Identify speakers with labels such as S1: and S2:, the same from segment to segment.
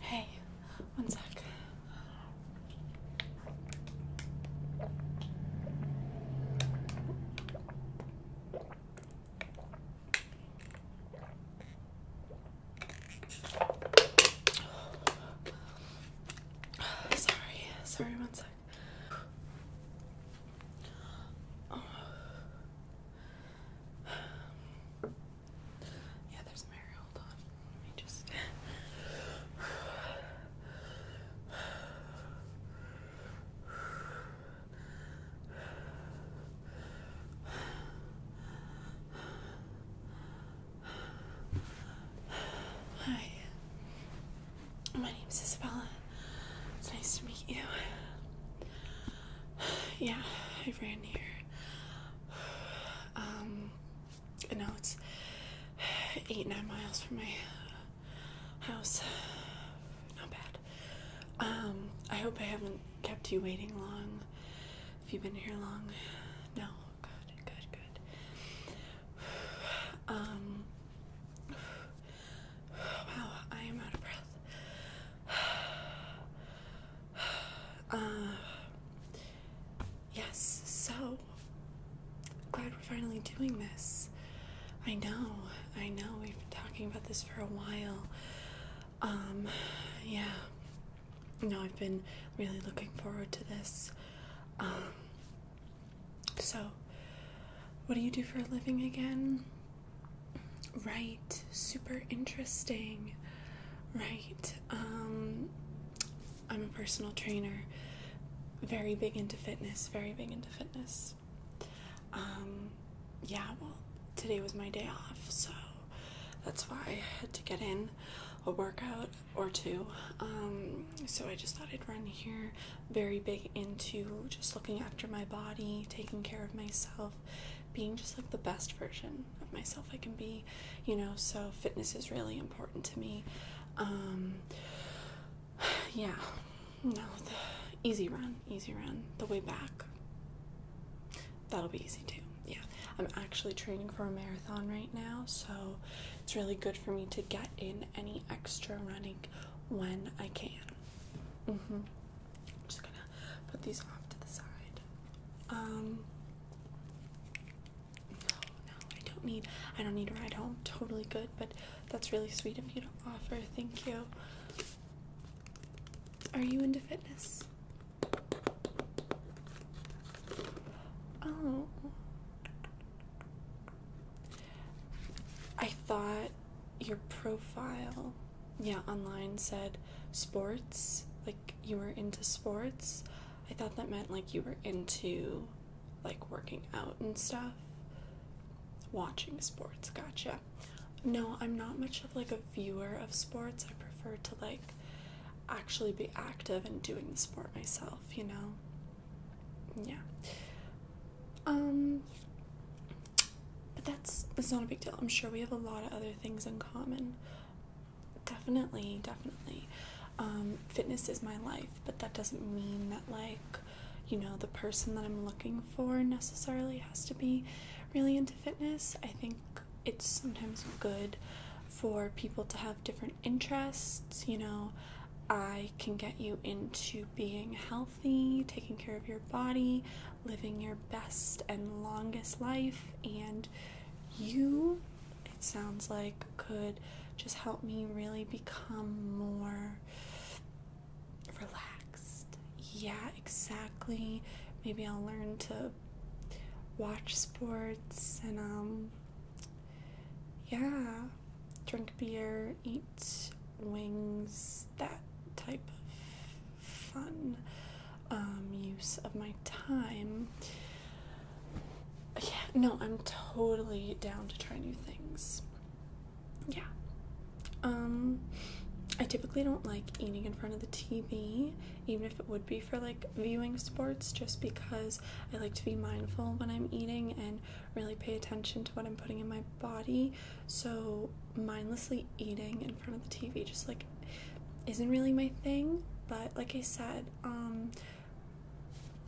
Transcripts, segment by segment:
S1: Hey, one sec. Sorry, sorry, one sec. Yeah, there's Mary. Hold on. Let me just. Hi. My is Isabella. It's nice to meet you. Yeah, I ran here. Um, and now it's eight, nine miles from my house. Not bad. Um, I hope I haven't kept you waiting long. Have you been here long, no, good, good, good. Um, wow, I am out of breath. Uh, yes, so glad we're finally doing this. I know, I know, we've been talking about this for a while. Um, yeah you know, I've been really looking forward to this. Um, so, what do you do for a living again? Right, super interesting. Right, um, I'm a personal trainer, very big into fitness, very big into fitness. Um, yeah, well, today was my day off, so that's why I had to get in a workout or two. Um, so I just thought I'd run here. Very big into just looking after my body, taking care of myself, being just like the best version of myself I can be, you know. So fitness is really important to me. Um, yeah, no, easy run, easy run, the way back that'll be easy too. Yeah, I'm actually training for a marathon right now, so it's really good for me to get in any extra running when I can. Mm-hmm. I'm just gonna put these off to the side. Um, no, no, I don't need I don't need a ride home. Totally good, but that's really sweet of you to offer. Thank you. Are you into fitness? Oh. I thought your profile, yeah, online said sports, like you were into sports. I thought that meant like you were into like working out and stuff. Watching sports, gotcha. No, I'm not much of like a viewer of sports. I prefer to like actually be active and doing the sport myself, you know? Yeah. Um but that's that's not a big deal. I'm sure we have a lot of other things in common. Definitely, definitely. Um, fitness is my life, but that doesn't mean that like, you know, the person that I'm looking for necessarily has to be really into fitness. I think it's sometimes good for people to have different interests. You know, I can get you into being healthy, taking care of your body, living your best and longest life, and you, it sounds like, could just help me really become more relaxed. Yeah, exactly. Maybe I'll learn to watch sports and um yeah, drink beer, eat wings, that type of fun um, use of my time. Yeah, no, I'm totally down to try new things. Yeah. Um, I typically don't like eating in front of the TV, even if it would be for like viewing sports just because I like to be mindful when I'm eating and really pay attention to what I'm putting in my body. So, mindlessly eating in front of the TV just like isn't really my thing, but like I said, um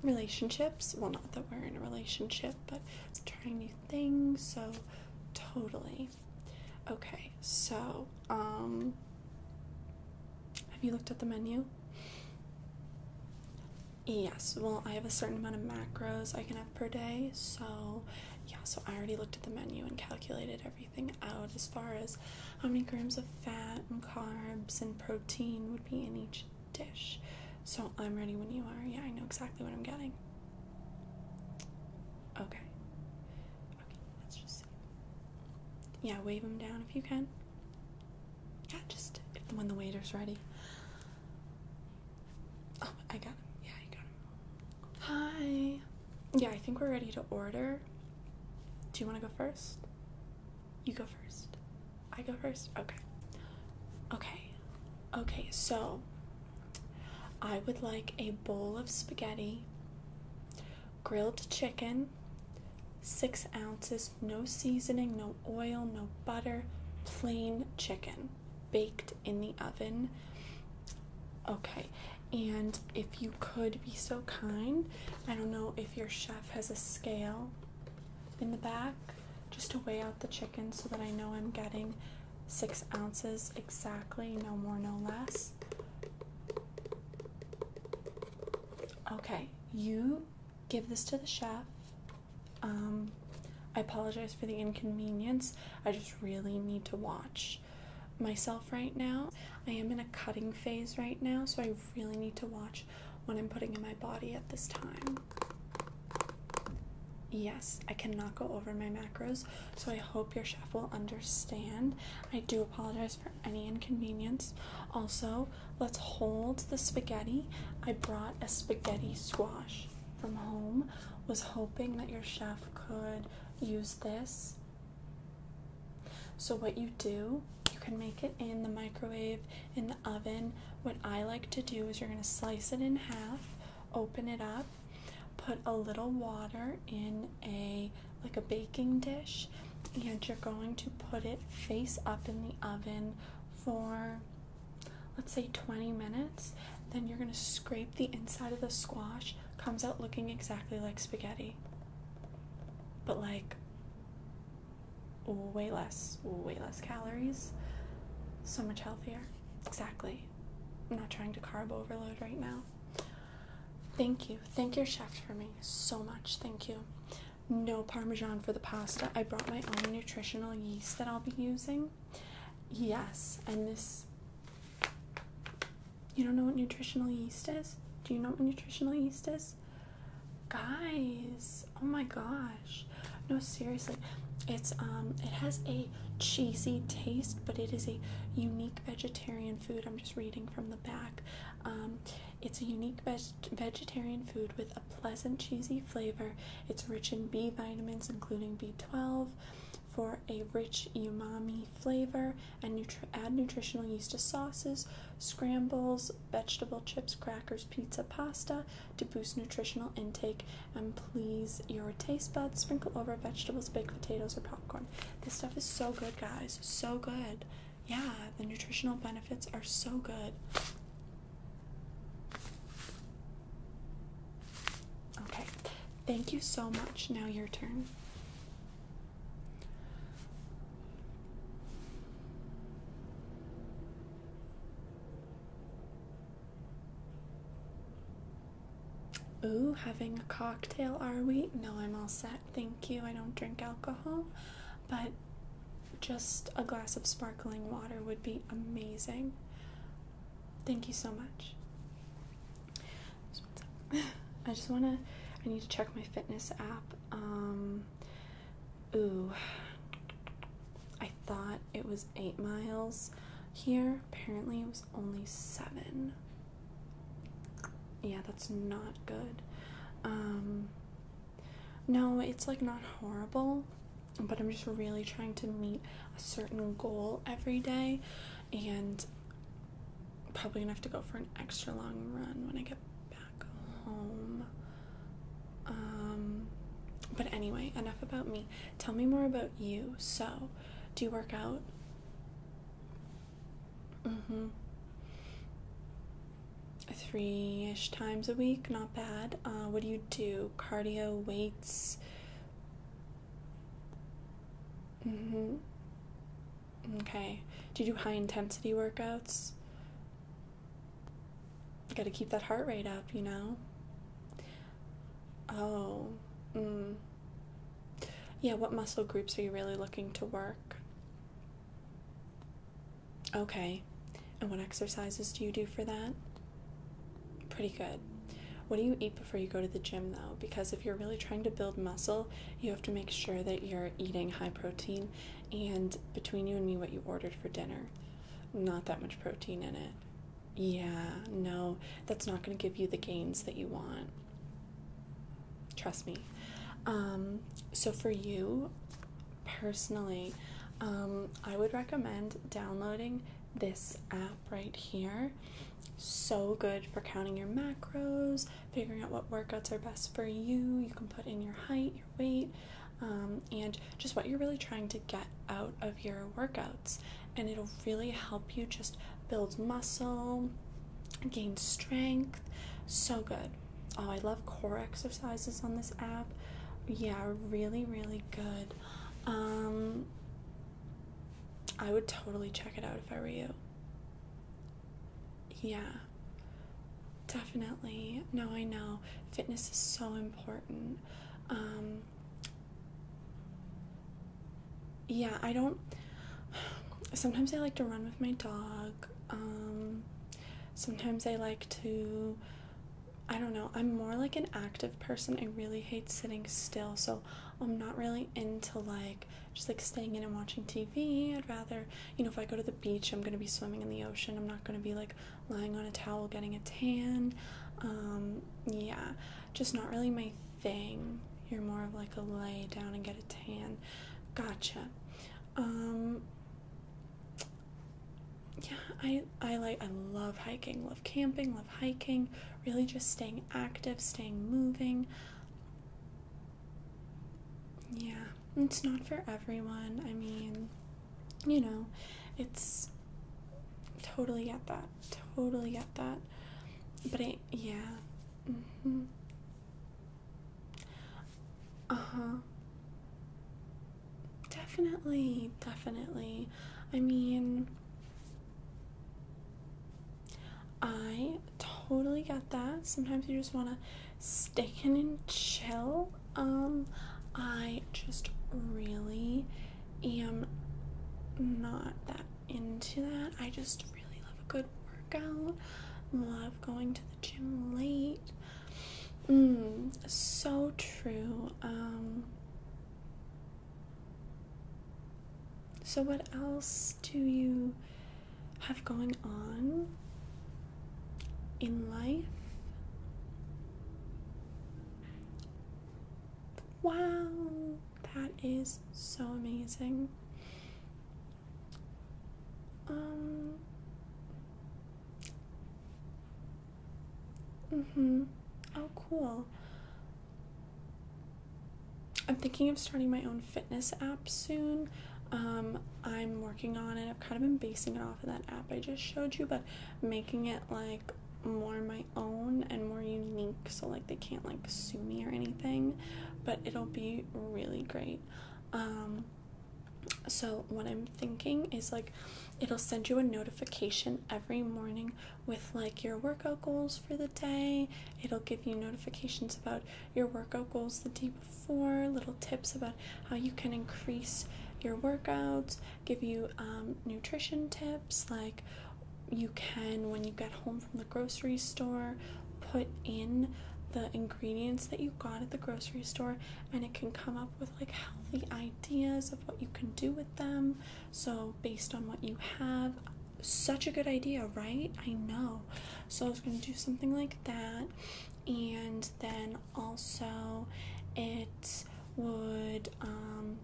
S1: relationships, well not that we're in a relationship, but trying new things, so totally Okay, so, um, have you looked at the menu? Yes, well, I have a certain amount of macros I can have per day, so yeah, so I already looked at the menu and calculated everything out as far as how many grams of fat and carbs and protein would be in each dish. So I'm ready when you are. Yeah, I know exactly what I'm getting. Okay. Okay, let's just. Yeah, wave them down if you can. Yeah, just when the waiter's ready. Oh, I got him. Yeah, I got him. Hi. Yeah, I think we're ready to order. Do you want to go first? You go first. I go first? Okay. Okay. Okay, so I would like a bowl of spaghetti, grilled chicken, six ounces, no seasoning, no oil, no butter, plain chicken baked in the oven. Okay, and if you could be so kind, I don't know if your chef has a scale in the back just to weigh out the chicken so that I know I'm getting six ounces exactly, no more, no less. Okay, you give this to the chef. Um, I apologize for the inconvenience. I just really need to watch myself right now. I am in a cutting phase right now, so I really need to watch what I'm putting in my body at this time. Yes, I cannot go over my macros, so I hope your chef will understand. I do apologize for any inconvenience. Also, let's hold the spaghetti. I brought a spaghetti squash from home. Was hoping that your chef could use this. So, what you do, you can make it in the microwave, in the oven. What I like to do is you're going to slice it in half, open it up put a little water in a like a baking dish, and you're going to put it face up in the oven for let's say 20 minutes. Then you're going to scrape the inside of the squash, comes out looking exactly like spaghetti. But like way less, way less calories, so much healthier. Exactly. I'm not trying to carb overload right now. Thank you. Thank your chef for me so much. Thank you. No parmesan for the pasta. I brought my own nutritional yeast that I'll be using. Yes, and this. You don't know what nutritional yeast is? Do you know what nutritional yeast is? Guys, oh my gosh. No, seriously. It's um it has a cheesy taste, but it is a unique vegetarian food. I'm just reading from the back. Um, it's a unique vegetarian food with a pleasant cheesy flavor. It's rich in B vitamins, including B12, for a rich umami flavor, and nutri add nutritional yeast to sauces, scrambles, vegetable chips, crackers, pizza, pasta to boost nutritional intake and please your taste buds. Sprinkle over vegetables, baked potatoes, or popcorn. Um, this stuff is so good, guys. So good. Yeah, the nutritional benefits are so good. Okay, thank you so much. Now, your turn. Ooh, having a cocktail, are we? No, I'm all set. Thank you. I don't drink alcohol, but just a glass of sparkling water would be amazing. Thank you so much. I just want to, I need to check my fitness app. Um, ooh, I thought it was eight miles here. Apparently, it was only seven yeah, that's not good. Um, no, it's like not horrible, but I'm just really trying to meet a certain goal every day, and probably gonna have to go for an extra long run when I get back home. Um, but anyway, enough about me. Tell me more about you. So, do you work out? Mm-hmm. Three ish times a week, not bad. Uh, what do you do? Cardio, weights. Mm-hmm. Okay. Do you do high intensity workouts? You gotta keep that heart rate up, you know? Oh, mm. yeah, what muscle groups are you really looking to work? Okay, and what exercises do you do for that? Pretty good. What do you eat before you go to the gym, though? Because if you're really trying to build muscle, you have to make sure that you're eating high protein and between you and me, what you ordered for dinner. Not that much protein in it. Yeah, no, that's not going to give you the gains that you want. Trust me. Um, so, for you personally, um, I would recommend downloading this app right here. So good for counting your macros, figuring out what workouts are best for you. You can put in your height, your weight, um, and just what you're really trying to get out of your workout and it'll really help you just build muscle, gain strength. So good. Oh, I love core exercises on this app. Yeah, really, really good. Um, I would totally check it out if I were you. Yeah, definitely. No, I know. Fitness is so important. Um, yeah, I don't. Sometimes I like to run with my dog. Um, sometimes I like to. I don't know. I'm more like an active person. I really hate sitting still, so I'm not really into like just like staying in and watching TV. I'd rather, you know, if I go to the beach, I'm gonna be swimming in the ocean. I'm not gonna be like lying on a towel getting a tan. Um, yeah, just not really my thing. You're more of like a lay down and get a tan. Gotcha. Um yeah, I I like I love hiking, love camping, love hiking, really just staying active, staying moving. Yeah, it's not for everyone. I mean, you know, it's totally get that totally get that. But yeah. Mm -hmm. Uh huh. Definitely, definitely. I mean, I totally get that. Sometimes you just want to stick and chill. Um, I just really am not that into that. I just really love a good workout. Love going to the gym late. Mm, so true. Um, so, what else do you have going on in life? Wow. That is so amazing. Um. Mhm. Oh, cool. I'm thinking of starting my own fitness app soon. Um, I'm working on it. I've kind of been basing it off of that app I just showed you, but making it like more my own and more unique so like they can't like sue me or anything but it'll be really great um so what i'm thinking is like it'll send you a notification every morning with like your workout goals for the day it'll give you notifications about your workout goals the day before little tips about how you can increase your workouts give you um, nutrition tips like you can when you get home from the grocery store put in the ingredients that you got at the grocery store and it can come up with like healthy ideas of what you can do with them so based on what you have such a good idea right i know so i was going to do something like that and then also it would um,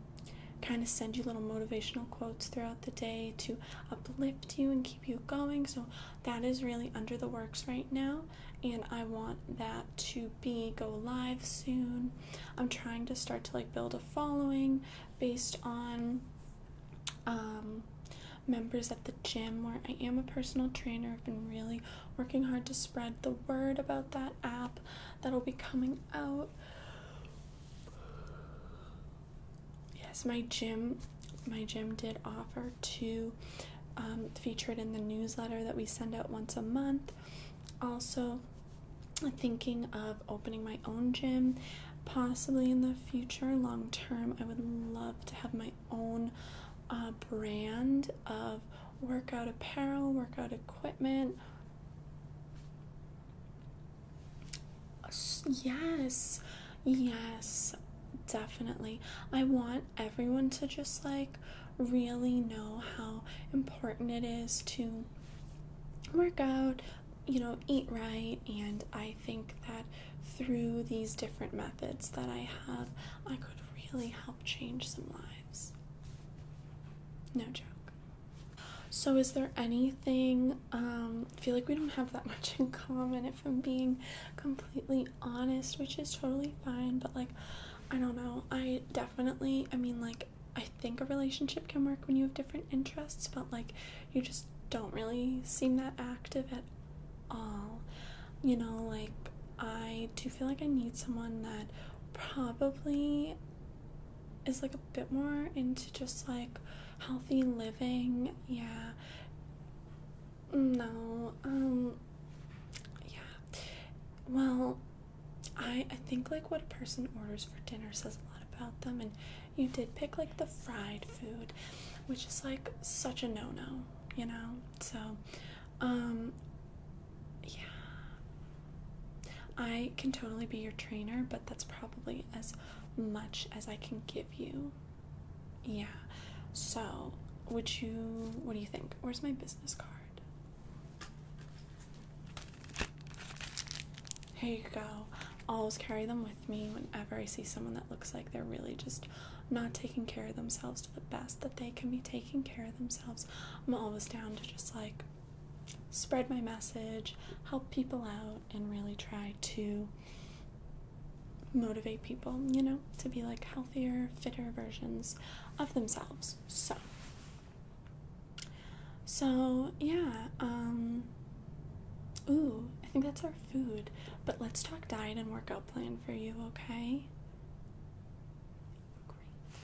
S1: kind of send you little motivational quotes throughout the day to uplift you and keep you going. So that is really under the works right now, and I want that to be go live soon. I'm trying to start to like build a following based on um, members at the gym where I am a personal trainer. I've been really working hard to spread the word about that app that'll be coming out. Yes, my gym, my gym did offer to um, feature it in the newsletter that we send out once a month. Also, thinking of opening my own gym possibly in the future long term i would love to have my own uh, brand of workout apparel workout equipment Yes, yes, definitely. I want everyone to just like really know how important it is to work out, you know, eat right, and I think that through these different methods that I have, I could really help change some lives. No joke. So, is there anything? Um, I feel like we don't have that much in common, if I'm being completely honest, which is totally fine. But, like, I don't know. I definitely, I mean, like, I think a relationship can work when you have different interests, but, like, you just don't really seem that active at all. You know, like, I do feel like I need someone that probably is like a bit more into just like healthy living. Yeah. No. Um yeah. Well, I I think like what a person orders for dinner says a lot about them and you did pick like the fried food, which is like such a no-no, you know? So um yeah. I can totally be your trainer, but that's probably as much as I can give you. Yeah. So, would you, what do you think? Where's my business card? Here you go. always carry them with me whenever I see someone that looks like they're really just not taking care of themselves to the best that they can be taking care of themselves. I'm always down to just like spread my message, help people out, and really try to motivate people, you know, to be like healthier, fitter versions of themselves. So, so yeah, um, ooh, I think that's our food, but let's talk diet and workout plan for you, okay? Great.